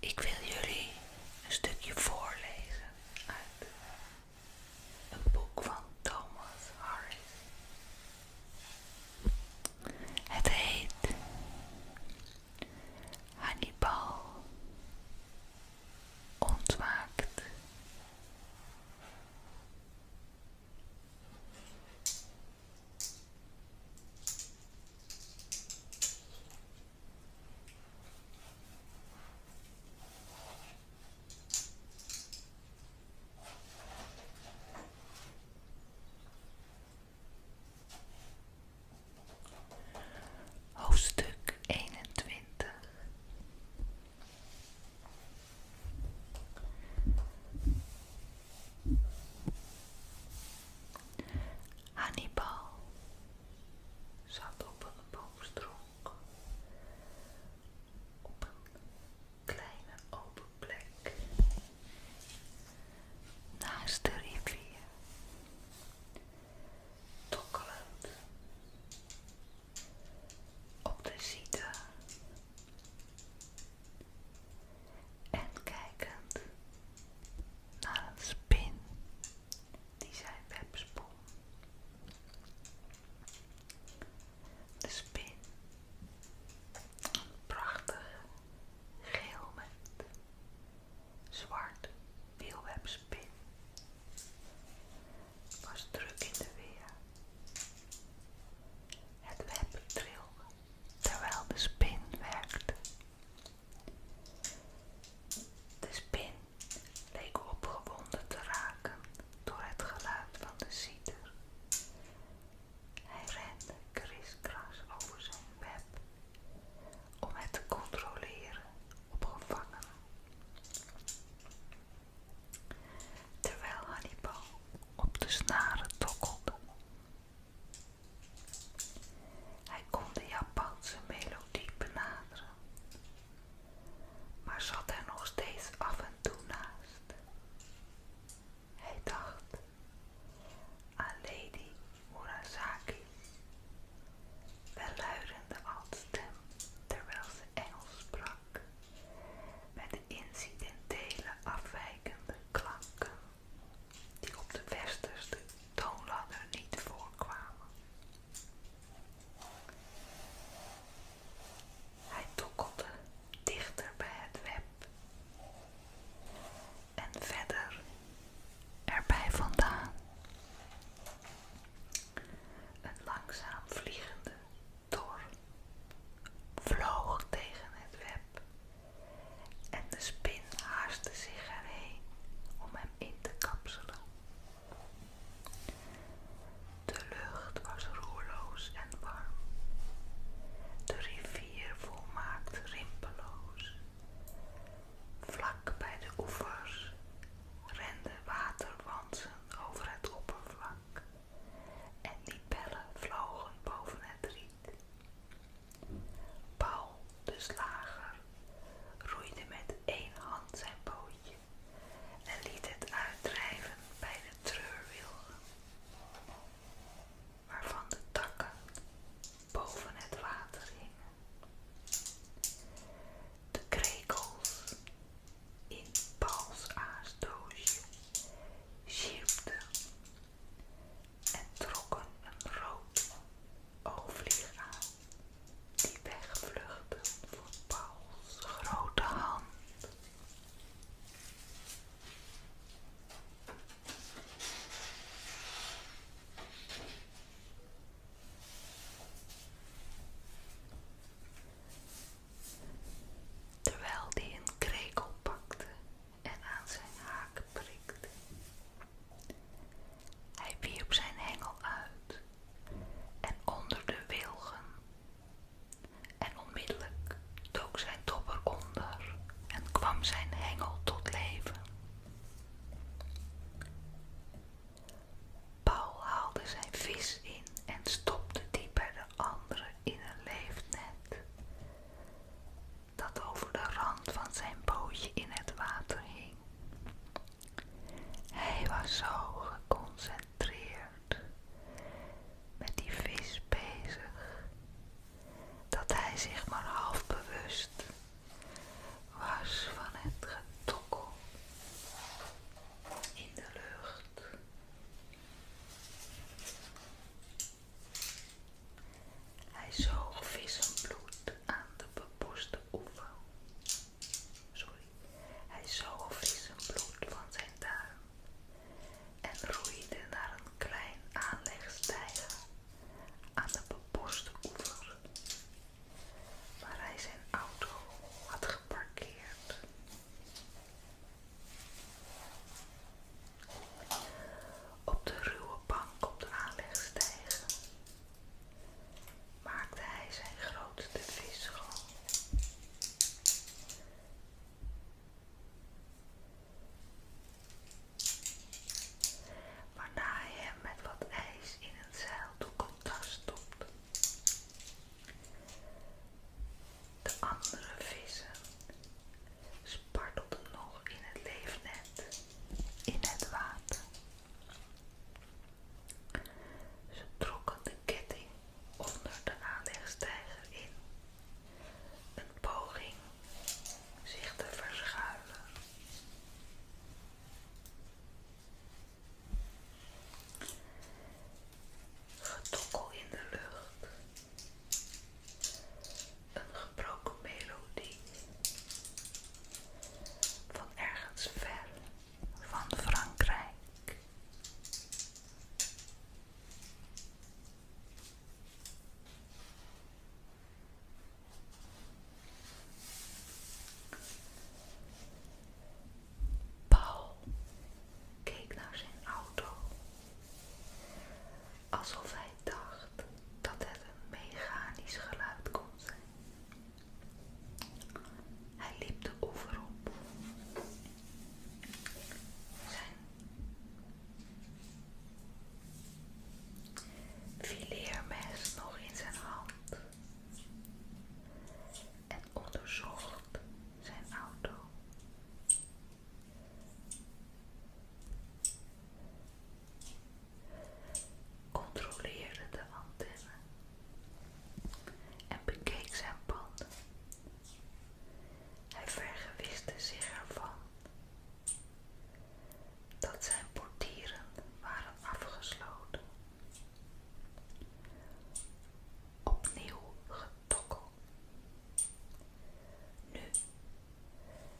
Ik wil jullie een stukje voorlezen uit een boek van Thomas Harris. Het heet Hannibal ontwaakt. Hoofdstuk 21 Hannibal zat op een boomstronk op een kleine open plek naast de rivier tokkelend op de zieten en kijkend naar een spin die zijn web De spin, een prachtige geel met zwart wielwebspin. was druk in de weer. Het web trilde terwijl de spin werkte. De spin leek opgewonden te raken door het geluid van de citer hij rende kriskras over zijn web om het te controleren op gevangenen. Terwijl Hannibal op de snaren tokkelde. Hij kon de Japanse melodie benaderen, maar zat er nog steeds af en toe naast. Hij dacht aan Lady Murasaki. Welluidende altstem terwijl ze Engels sprak, met incidentele afwijkende klanken die op de westerse toonladder niet voorkwamen. Hij tokkelde dichter bij het web en verder erbij vandaan. Een langzaam vliegende tor vloog tegen het web en de spin haastte zich erheen om hem in te kapselen. De lucht was roerloos en warm. De rivier hier volmaakt rimpeloos. Vlak bij de oevers rende waterwansen over het oppervlak en die bellen vlogen boven het riet. Paul, de slager, roeide met één hand zijn bootje en liet het uitdrijven bij de treurwilgen waarvan de takken boven het water hingen. De krekels in Pauls aasdoosje sjierpten en trokken een rood oogvlieg aan die wegvluchtte voor Pauls grote hand. Terwijl die een krekel pakte en aan zijn haak prikte. Hij wierp zijn hengel uit en onder de wilgen. En onmiddellijk took zijn dopper onder en kwam zijn hengel tot leven. Paul haalde zijn vis in en stopte die bij de andere in een leefnet, dat over de rand van zijn bootje in het water hing. Hij was zo geconcentreerd met die vis bezig dat hij zich maar half bewust was van het getokkel in de lucht. Hij zijn bloed aan de bepoeste oever. Sorry, hij zijn bloed van zijn duim en roeide naar een klein aanlegstijger aan de beboste oever, waar hij zijn auto had geparkeerd. Op de ruwe bank op de aanlegstijger maakte hij zijn grote vis Waarna hij hem met wat ijs in een contact stopt. De andere vissen spartelden nog in het leefnet, in het water. Ze trokken de ketting onder de aanlegstijger in een poging zich te verschuilen. Getokkel in de lucht, een gebroken melodie van ergens ver van Frankrijk. Paul keek naar zijn auto, alsof hij dacht dat het een mechanisch geluid kon zijn. Hij liep de oever op. Fileermes nog in zijn hand en onderzocht zijn auto. Controleerde de antenne en bekeek zijn panden hij vergewistte zich ervan dat zijn portieren waren afgesloten. Opnieuw getokkel. Nu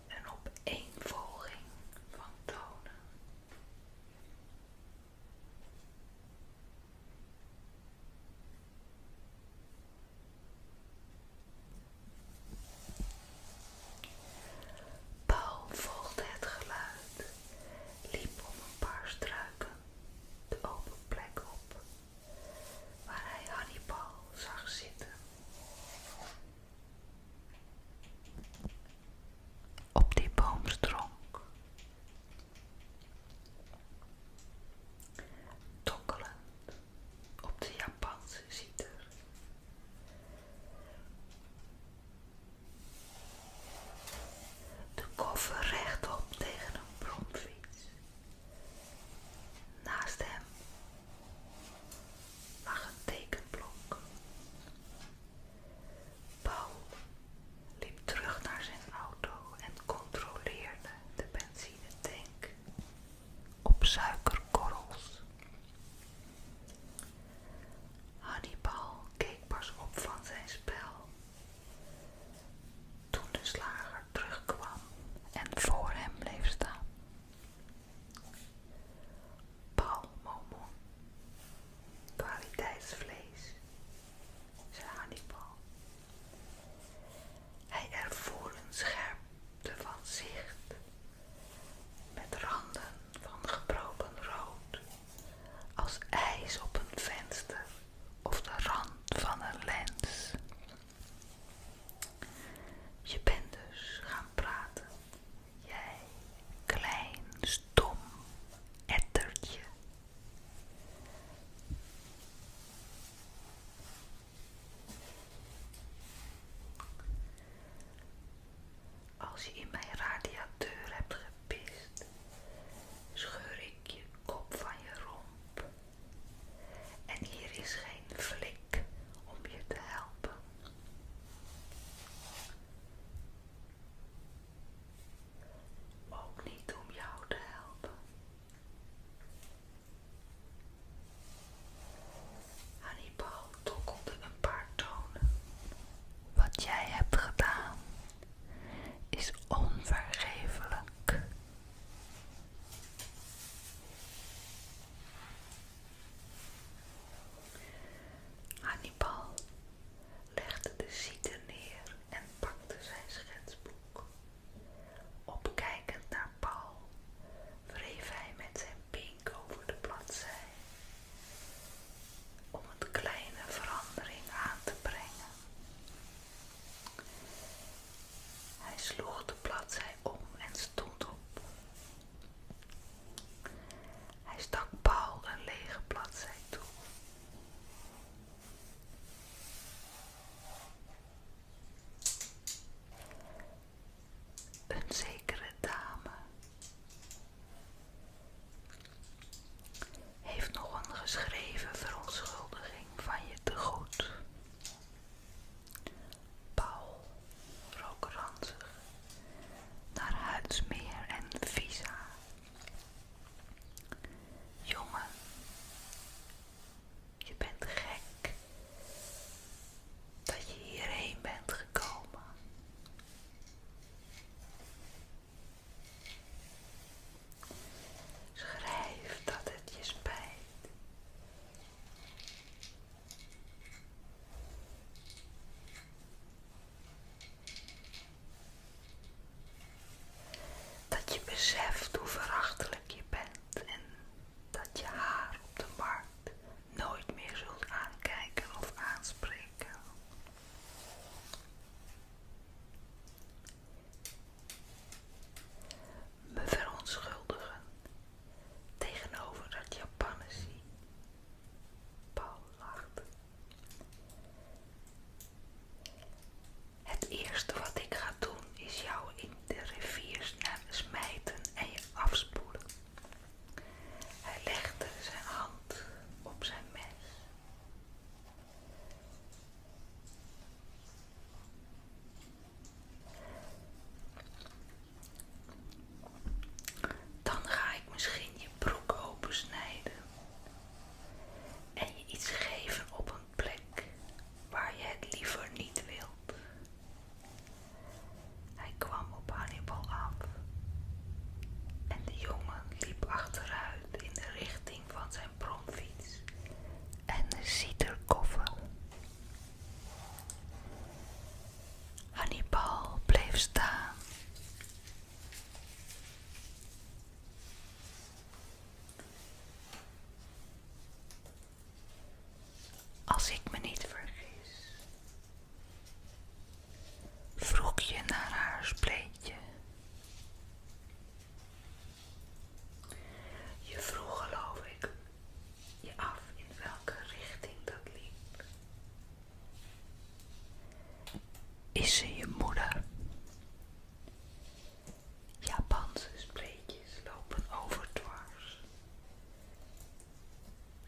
een opeenvolging van tonen. Paul volgde het geluid, liep om een paar struiken de open plek op, waar hij Hannibal zag zitten. Op die boomstronk tokkelend op de Japanse zieter. De koffer rechtop tegen een bromfiets. Naast hem lag een tekenblok. Paul liep terug naar zijn auto en controleerde de benzinetank op suikerkorrels. Hannibal keek pas op van zijn spel toen de slager terugkwam en voor hem bleef staan. Palmomon, kwaliteitsvlees, zei Hannibal hij ervoer een scherpte van zicht, met randen van gebroken rood, als ijs op een venster of de rand van een lens. Je bent dus gaan praten, jij klein stom ettertje. Als je in mijn radiateur hebt gepist, scheur ik je kop van je romp. En hier is geen flik om je te helpen. Ook niet om jou te helpen. Hannibal tokkelde een paar tonen. Wat jij hebt gedaan is onvergeeflijk. Hannibal legde de zieten neer en pakte zijn schetsboek. Opkijkend naar Paul wreef hij met zijn pink over de bladzij om een kleine verandering aan te brengen. Hij sloeg de bladzij om en stond op. Hij stak Paul een lege bladzij toe. Een zekere dame heeft nog een geschreven verontschuldiging van je te goed. Paul rook ranzig naar Huidsmeer en Visa. Jongen, je bent gek dat je hierheen bent gekomen. Schrijf dat het je spijt. Dat je beseft hoe verachtelijk je bent en dat je haar op de markt nooit meer zult aankijken of aanspreken. Me verontschuldigen tegenover dat Japanse Paul lacht. Het eerste wat ik ga doen is jou in de rivier smijten en je afspoelen. Hij legde zijn hand op zijn mes. Dan ga ik misschien je broek opensnijden en je iets geven op een plek waar je het liever niet wilt. Hij kwam op Hannibal af en de jongen liep achteruit in de richting van zijn bromfiets en ziet de koffer. Hannibal bleef staan. Als ik me niet vergis, vroeg je naar haar spleetje. Je vroeg, geloof ik, je af in welke richting dat liep. Is ze je moeder? Japanse spreekjes lopen over dwars.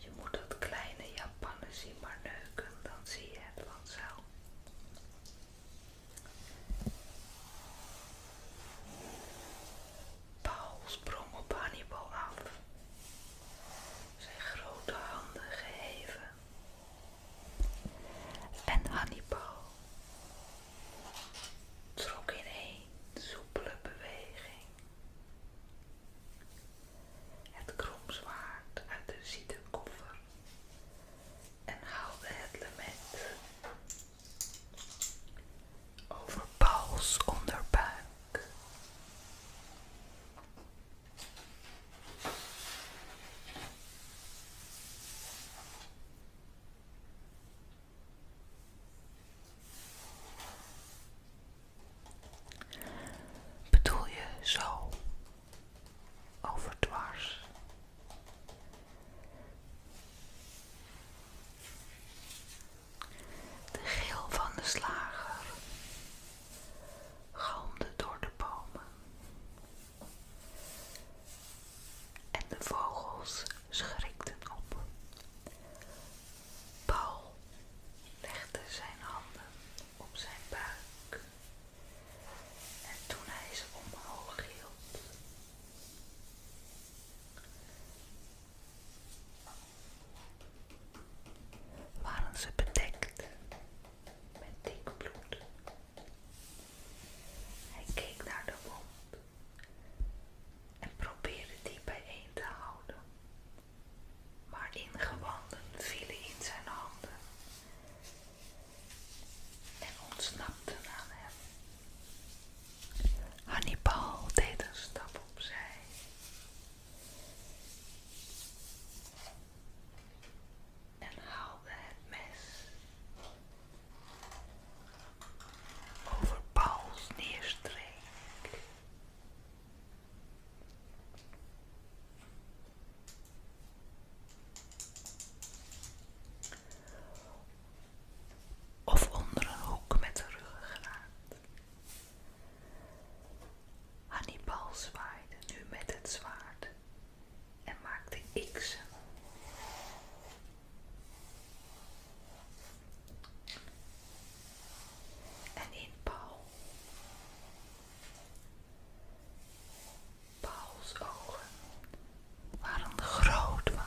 Je moet het kleine zien, maar neuken, dan zie je het vanzelf. Paul sprong op Hannibal af, zijn grote handen geheven en Hannibal trok in een soepele beweging het kromzwaard uit de koffer en haalde het lement over Pauls onderbuik. Bedoel je zo overdwars? De geel van de slager galmde door de bomen. En de vogels schrikten op. Paul legde zijn handen op zijn buik. En toen hij ze omhoog hield, waren ze bedekt met dik bloed. Hij keek naar de wond en probeerde die bijeen te houden, maar ingewanden vielen in zijn handen en ontsnapten aan hem. Hannibal deed een stap opzij en haalde het mes over Pauls neerstreek. Of onder een hoek met de Annie Hannibal zwaaide nu met het zwaard en maakte x En in Paul, Paul's ogen waren groot van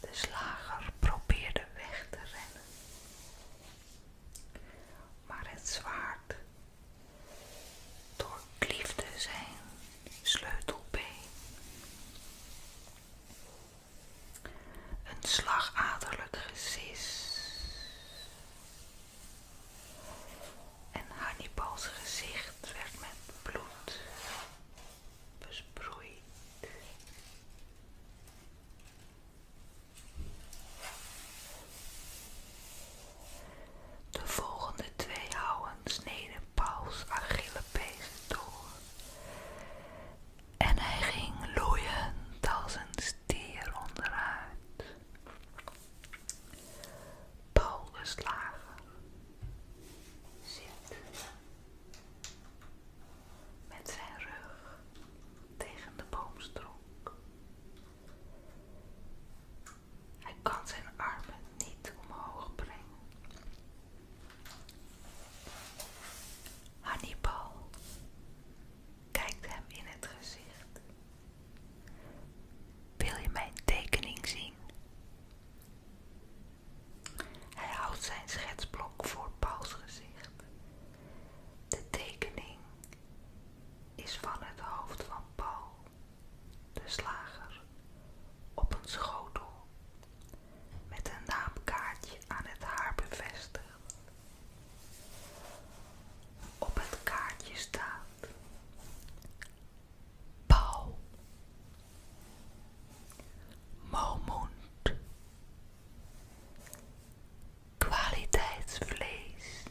De slager probeerde weg te rennen, maar het zwaard liefde zijn sleutelbeen. Een slagaderlijk gesis. En Hannibals gezicht werd met bloed besproeid. De volgende twee houwen sneden Pauls Achillepees door. En hij ging loeien als een stier onderuit. Paul de slager zit met zijn rug tegen de boomstronk. Hij kan zijn armen niet omhoog brengen. Hannibal kijkt hem in het gezicht. Wil je mijn tekening zien? Hij houdt zijn schetsblok voor Pauls gezicht de tekening is van het hoofd van Paul, de slager, op een schotel met een naamkaartje aan het haar bevestigd. Op het kaartje staat Paul kwaliteitsvlees.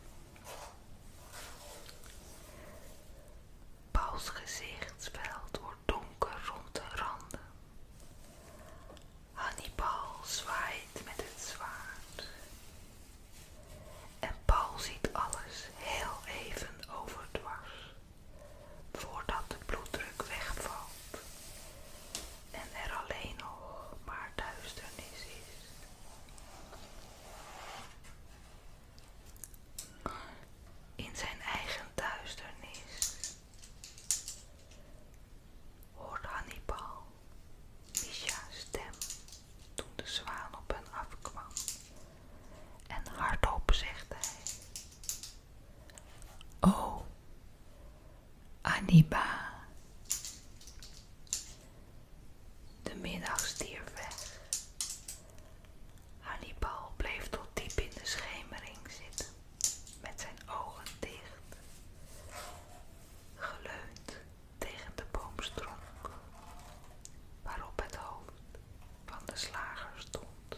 Paul's gezichtsveld wordt donker rond de randen. Hannibal zwaait met het zwaard. En Paul ziet alles heel even overdwars, voordat de bloeddruk wegvalt en er alleen nog maar duisternis is. In zijn eigen duisternis hoort Hannibal Misha's stem toen de zwaan op hen afkwam en hardop zegt hij: Oh, Aniba. De middag stierf weg. Hannibal bleef tot diep in de schemering zitten, met zijn ogen dicht, geleund tegen de boomstronk, waarop het hoofd van de slager stond.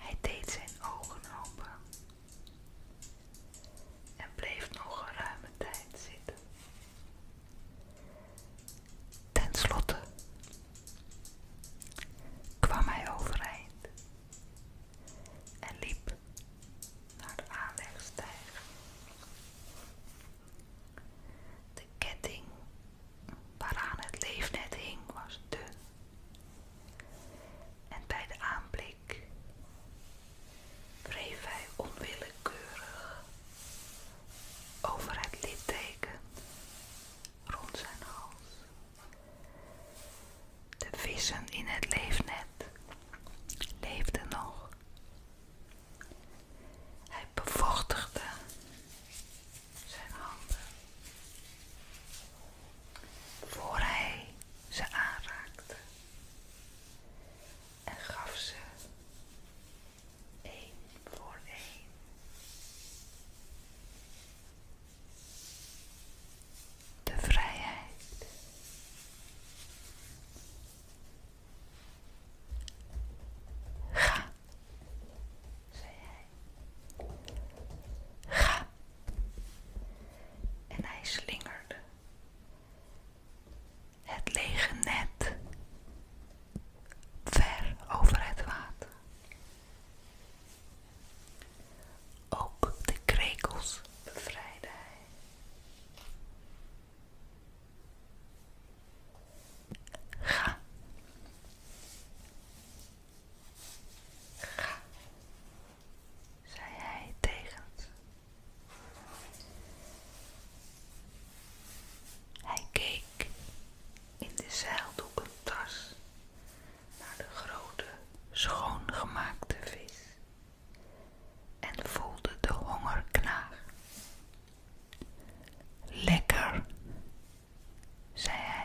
Hij deed zijn ogen open en bleef nog een ruime tijd zitten. Ten slotte kwam hij overeind en liep naar de aanlegstijg. De ketting waaraan het leefnet hing was dun. En bij de aanblik wreef hij onwillekeurig over het litteken rond zijn hals. De vissen in het leefnet leefden nog hij bevochtigde zijn handen voor hij ze aanraakte en gaf ze één voor één de vrijheid. Ga, zei hij. Ga. En hij slingerde het lege net ver over het water. Ook de krekels bevrijdde hij. Ga. Ga, zei hij tegen Hij keek in de zeildoekentas naar de grote, schoongemaakte vis en voelde de honger knagen. Lekker, zei hij.